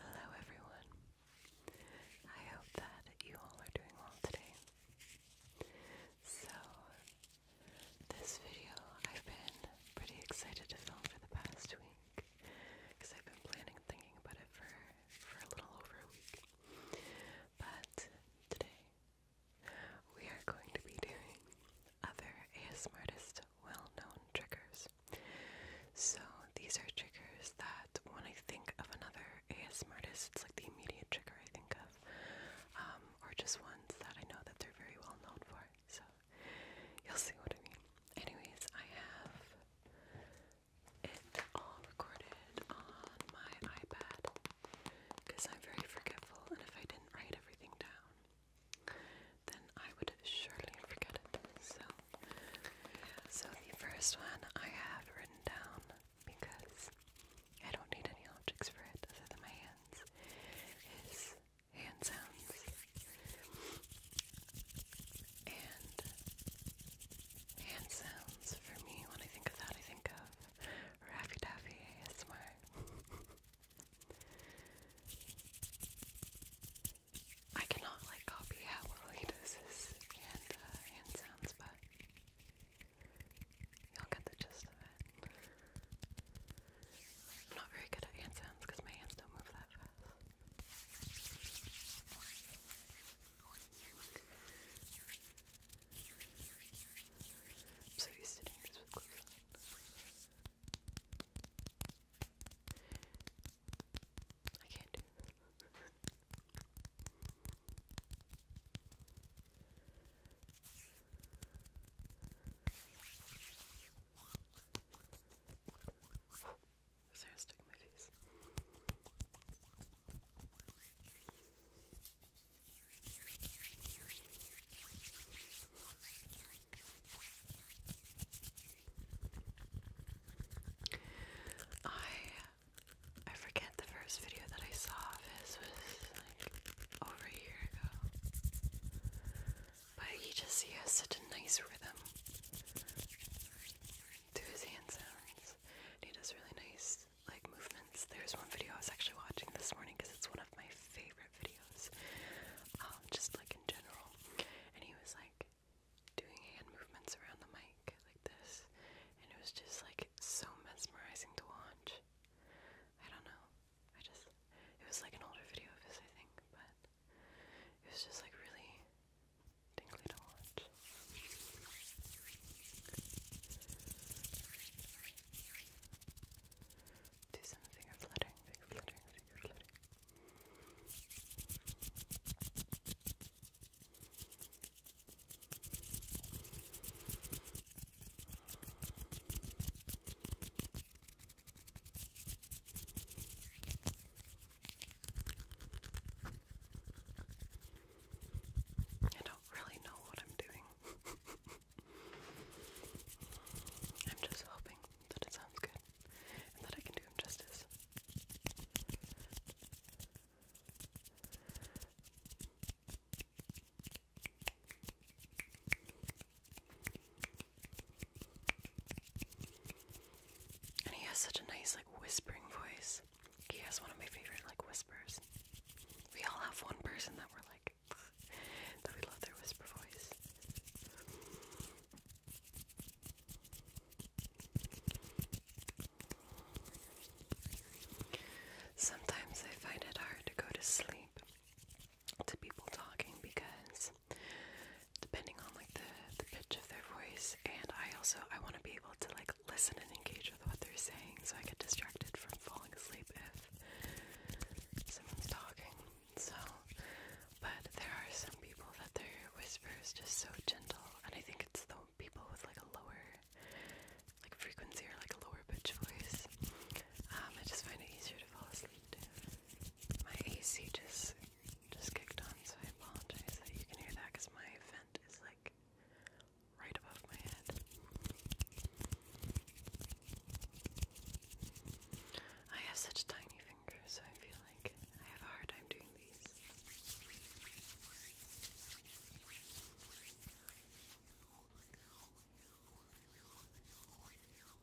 Hello, everyone. I hope that you all are doing well today. So, this video I've been pretty excited to film for the past week because I've been planning and thinking about it for for a little over a week. But today we are going to be doing other ASMRtist well-known triggers. So these are triggers that when I think of another ASMRtist, it's like the immediate trigger I think of, um, or just ones that I know that they're very well known for so you'll see what I mean. Anyways, I have it all recorded on my iPad because I'm very forgetful, and if I didn't write everything down, then I would surely forget it. So, so the first one I have written down because I don't need any objects for it other than my hands is hand sounds and hand sounds for me when I think of that I think of Raffy Taffy ASMR I cannot like copy how well does this and uh, hand sounds but Y'all get the gist of it. I'm not very good at hand sounds because my hands don't move that fast. i can't do is there I I forget the first video that I saw of his was like over a year ago. But you just see has such a nice rhythm to his hand sounds. And he does really nice like movements. There's one video I was actually watching this morning because it's one of my favorite videos, um, just like in general. And he was like doing hand movements around the mic like this, and it was just like so mesmerizing to watch. I don't know. I just it was like an older video of his, I think, but it was just like really tingly to watch. Do some finger fluttering, fluttering, fluttering. I don't really know what I'm doing. I'm just hoping that it sounds good and that I can do justice. And he has such a nice, like, whispering voice. He has one of my favorite, like, whispers. We all have one person that we're like, that we love their whisper voice. Sometimes I find it hard to go to sleep to people talking because depending on like the the pitch of their voice. And I also I want to be able to like listen and engage with what they're saying, so I get distracted from falling asleep if someone's talking. So, but there are some people that their whisper just so gentle, and I think it's the people with like a lower like frequency or like a lower pitch voice. Um, I just find it easier to fall asleep my AC just just kicked on, so I apologize that you can hear that because my vent is like right above my head. I have such tiny fingers, so I feel like I have hard time doing these.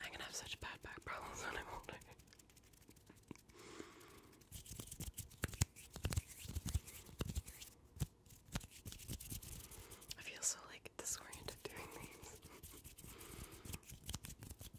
I'm gonna have such bad back problems when I'm older. I feel so like disoriented doing these.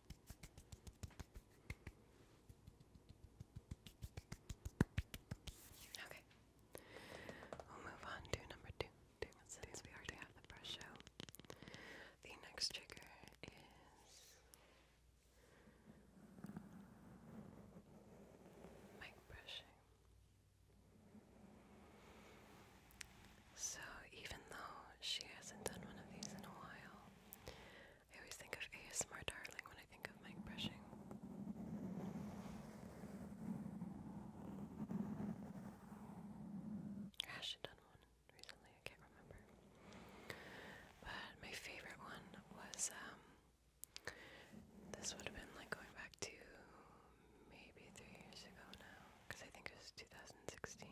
Okay. We'll move on to number two. two Since we already have the brush out, the next trigger is mic brushing. So, even though she hasn't done one of these in a while, I always think of ASMR Darling when I think of mic brushing. I actually done one recently, I can't remember. But my favorite one was um, this would have been like going back to maybe three years ago now, because I think it was 2017 2016.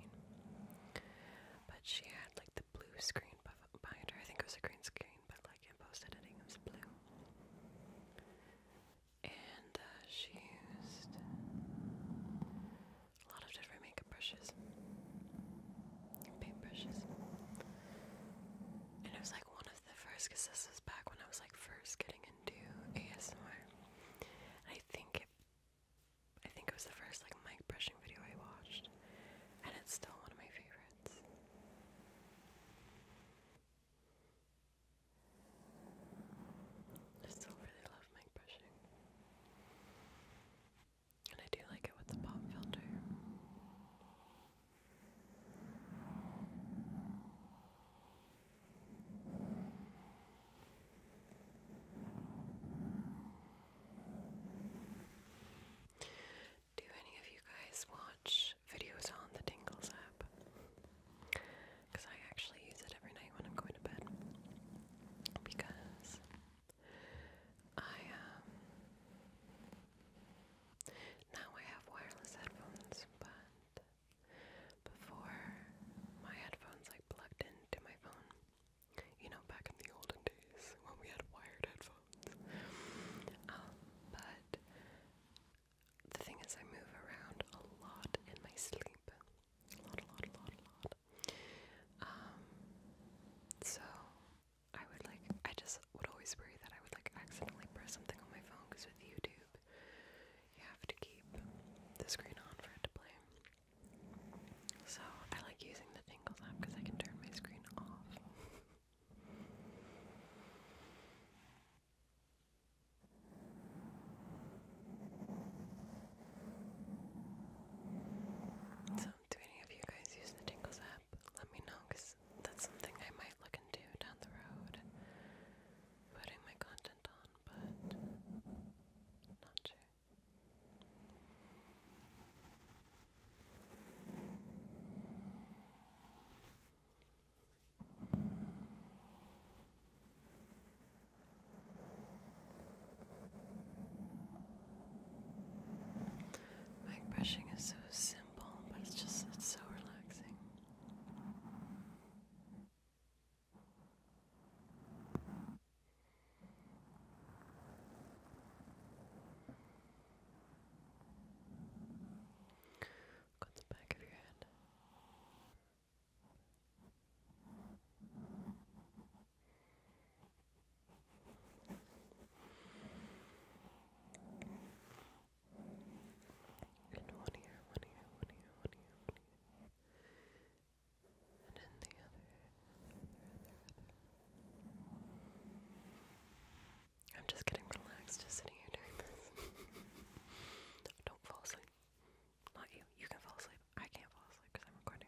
But she had like the blue screen behind her. I think it was a green screen, but like in post editing, it was blue. And uh, she used a lot of different makeup brushes, paint brushes. And it was like one of the first, this was back when I was like first getting into ASMR. I think I think it was the first like mic brushing video I watched, and it's still one of my favorites. I still really love mic brushing. And I do like it with the pop filter. Do any of you guys watch videos on the Tingles app? Because I actually use it every night when I'm going to bed. Because I, um, now I have wireless headphones, but before my headphones like plugged into my phone you know, back in the olden days when we had wired headphones. Um, but the thing is, I move around a lot in my sleep. A lot, a lot, a lot, a lot. Um, so I would like, I just would always worry that I would like accidentally press something on my phone because with YouTube, you have to keep the screen on for it to play. So I like using the Tingles app because I can turn my screen off. so, do any of you guys use the Tingles app? Let me know because that's something I might look into down the road. Putting my content on, but not sure brushing is so simple, but it's just it's so relaxing. Got the back of your head. And one ear, one ear, one ear, one ear, one ear. I'm just getting relaxed just sitting here doing this. Don't fall asleep. Not you. You can fall asleep. I can't fall asleep because I'm recording.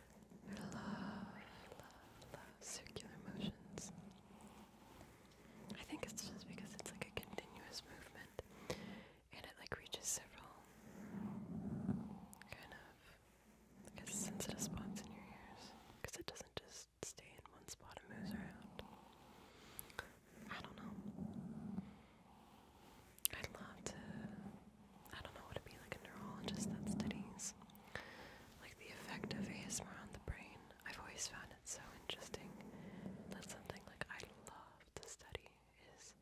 love, love, love circular motions. I think it's just because it's like a continuous movement and it like reaches several kind of sensitive spots in your ears because it doesn't just stay in one spot and moves around. I don't know. i love to I don't know what it'd be like a neurologist that studies like the effect of ASMR on the brain. I've always found it so interesting. That's something like I love to study is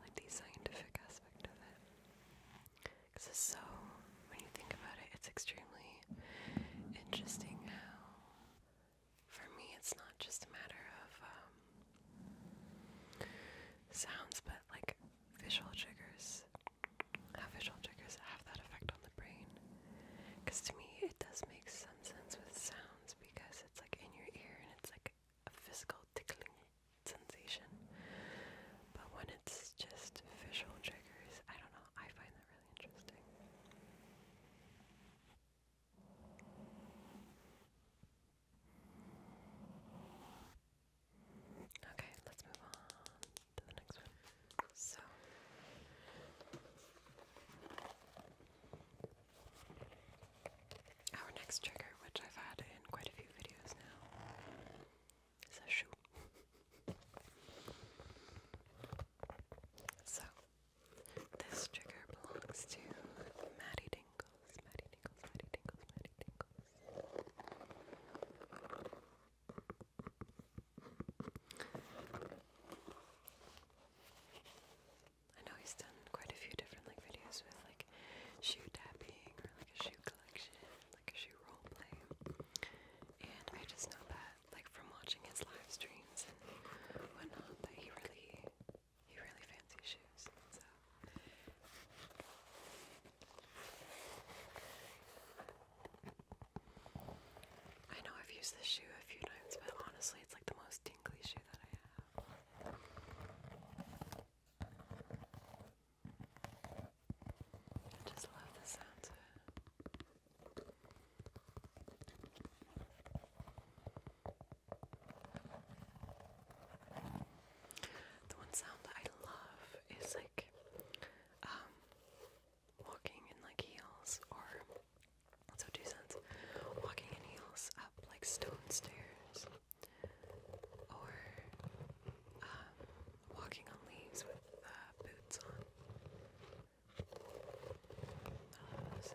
like the scientific aspect of it. Cause it's so when you think about it, it's extremely interesting how for me it's not just a matter of um, sounds but like visual triggers, how visual triggers have that effect on the brain. Because to me, it does make sense with sounds because it's like in your ear and it's like a physical tickling sensation. But when it's just visual triggers, I don't know, I find that really interesting. Okay, let's move on to the next one. So, our next trigger, which I've had in quite a few videos now, is a shoe. so, this trigger belongs to Maddie Dingles, Maddie Dingles, Maddie Dingles, Maddie Dingles. I know he's done quite a few different like videos with like shoe tapping or like a shoe collection, like a shoe role play. And I just know that like from watching his live streams and whatnot that he really he really fancies shoes. I know I've used this shoe a few times, but honestly, it's like the most tingly shoe that I have. I just love the sound of it. The one sound that I love is like um walking in like heels or so two cents. Walking in heels up like stone stairs or um walking on leaves with uh, boots on. those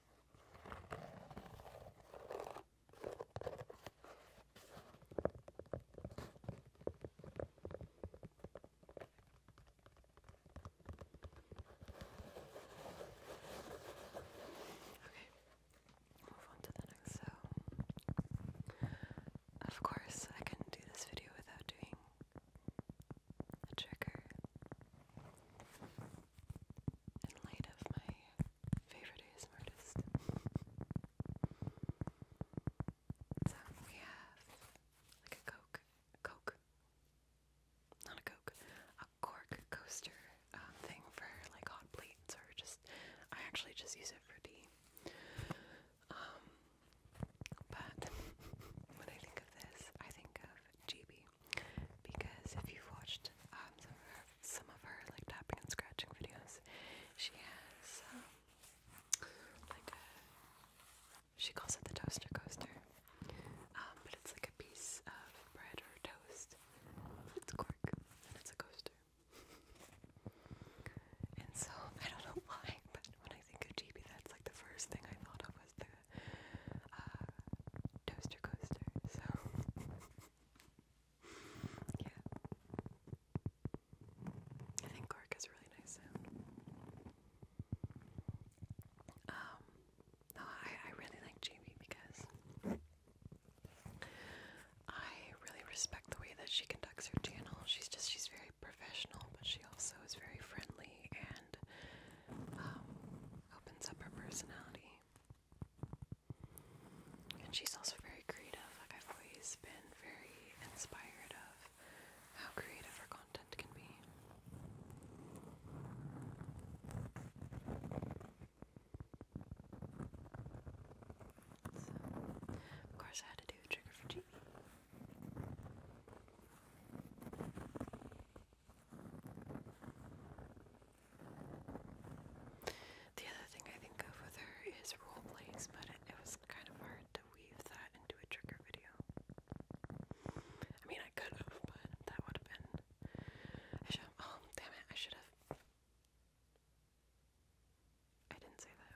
Okay, move on to the next so of course I could do this video without doing a trigger in light of my favorite artist. so we have like a Coke, Coke, not a Coke, a cork coaster um, thing for like hot plates or just, I actually just use it for tea. Um, but when I think of this, I think of GB because if you've watched um, some, of her, like tapping and scratching videos, she has um, like a she calls it the toaster coaster, um, but it's like a piece of bread or toast. It's cork and it's a coaster. and so I don't know why, but when I think of GB, that's like the first thing I thought of was the uh, toaster coaster. So yeah, I think cork is really nice um, no, I I really like Jamie because I really respect the way that she conducts her channel. She's just she's very professional, but she also is very friendly and um, opens up her personality. And she's also very creative. Like I've always been very inspired of how creative her content can be. So, of course, I had to do a trigger for Jamie. The other thing I think of with her is role plays, but it, was kind of hard to weave that into a trigger video. I mean, I could have, but that would have been. should have. Oh, damn it, I should have. I didn't say that.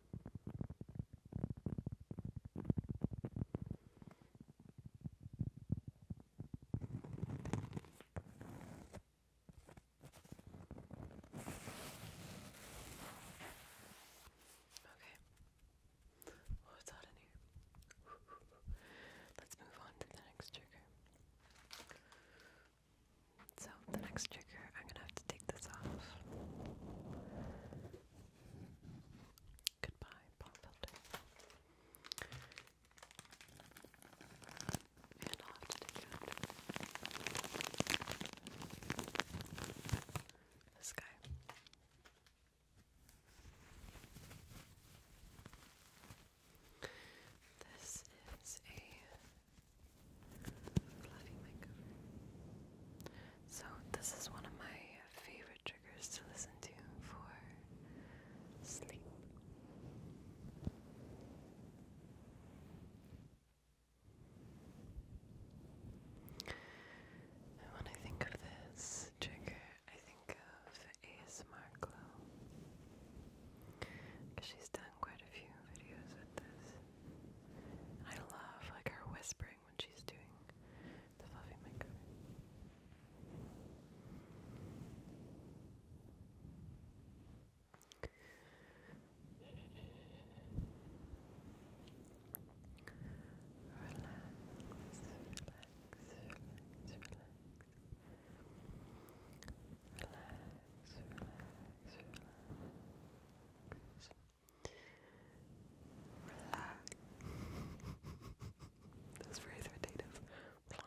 Okay. Oh, it's hot in here. Let's move on to the next trigger. So, the next trigger, I'm gonna have to take this off. Goodbye, pop filter. And I'll have to take out this guy. This is a so this is one of my favorite triggers to listen to for sleep. And when I think of this trigger, I think of ASMR Glow. Because she's done done quite a few videos with this. I love like her whispering when she's doing the fluffy makeup. relax, relax, relax. Relax, relax, relax. Relax. That's very authoritative. Relax. Relax.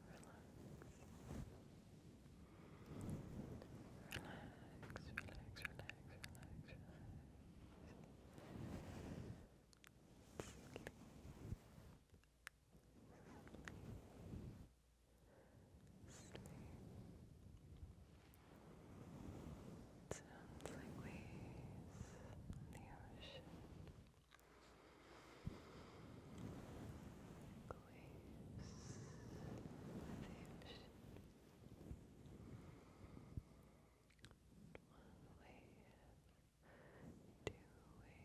Relax, relax, relax, Sleep. Sounds like waves on the ocean. waves on the ocean. One wave, two wave,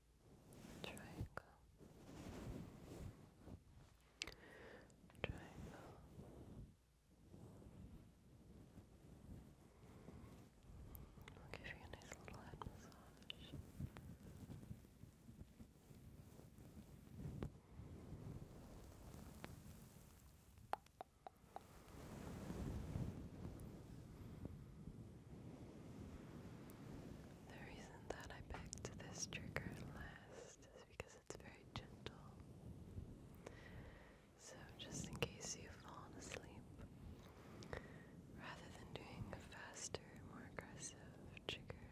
triangle, triangle, I'll give you a nice little head massage. The reason that I picked this trigger last is because it's very gentle. So, just in case you've fallen asleep, rather than doing a faster, more aggressive trigger,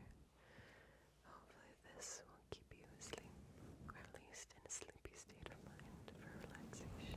hopefully this will keep you asleep, or at least in a sleepy state of mind for relaxation.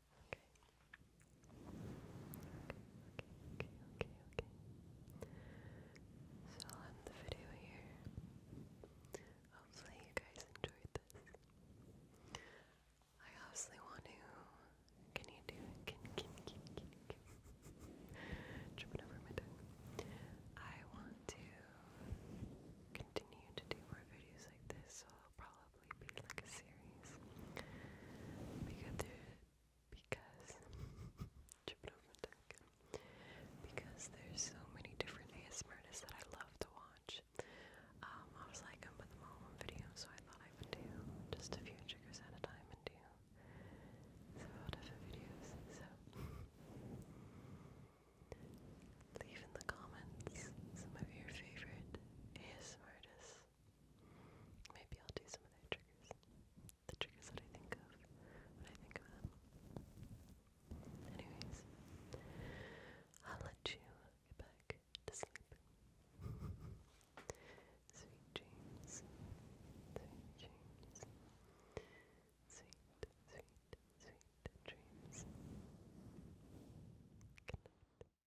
Okay. Okay, okay, okay, okay, So I'll end the video here. Hopefully you guys enjoyed this. I obviously want to can you do Can can can can can tripping over my tongue. I want to continue to do more videos like this, probably be like a series because because because there's so many different ASMR artists that I love to watch. Um, I was like, I'm put them all on video, so I thought I would do just a few triggers at a time and do several different videos. So. Leave in the comments some of your favorite ASMR Maybe I'll do some of their triggers. The triggers that I think of when I think of them. Anyways, I'll let you get back to sleep. Sweet dreams. Sweet dreams. Sweet, sweet, sweet dreams. Good night.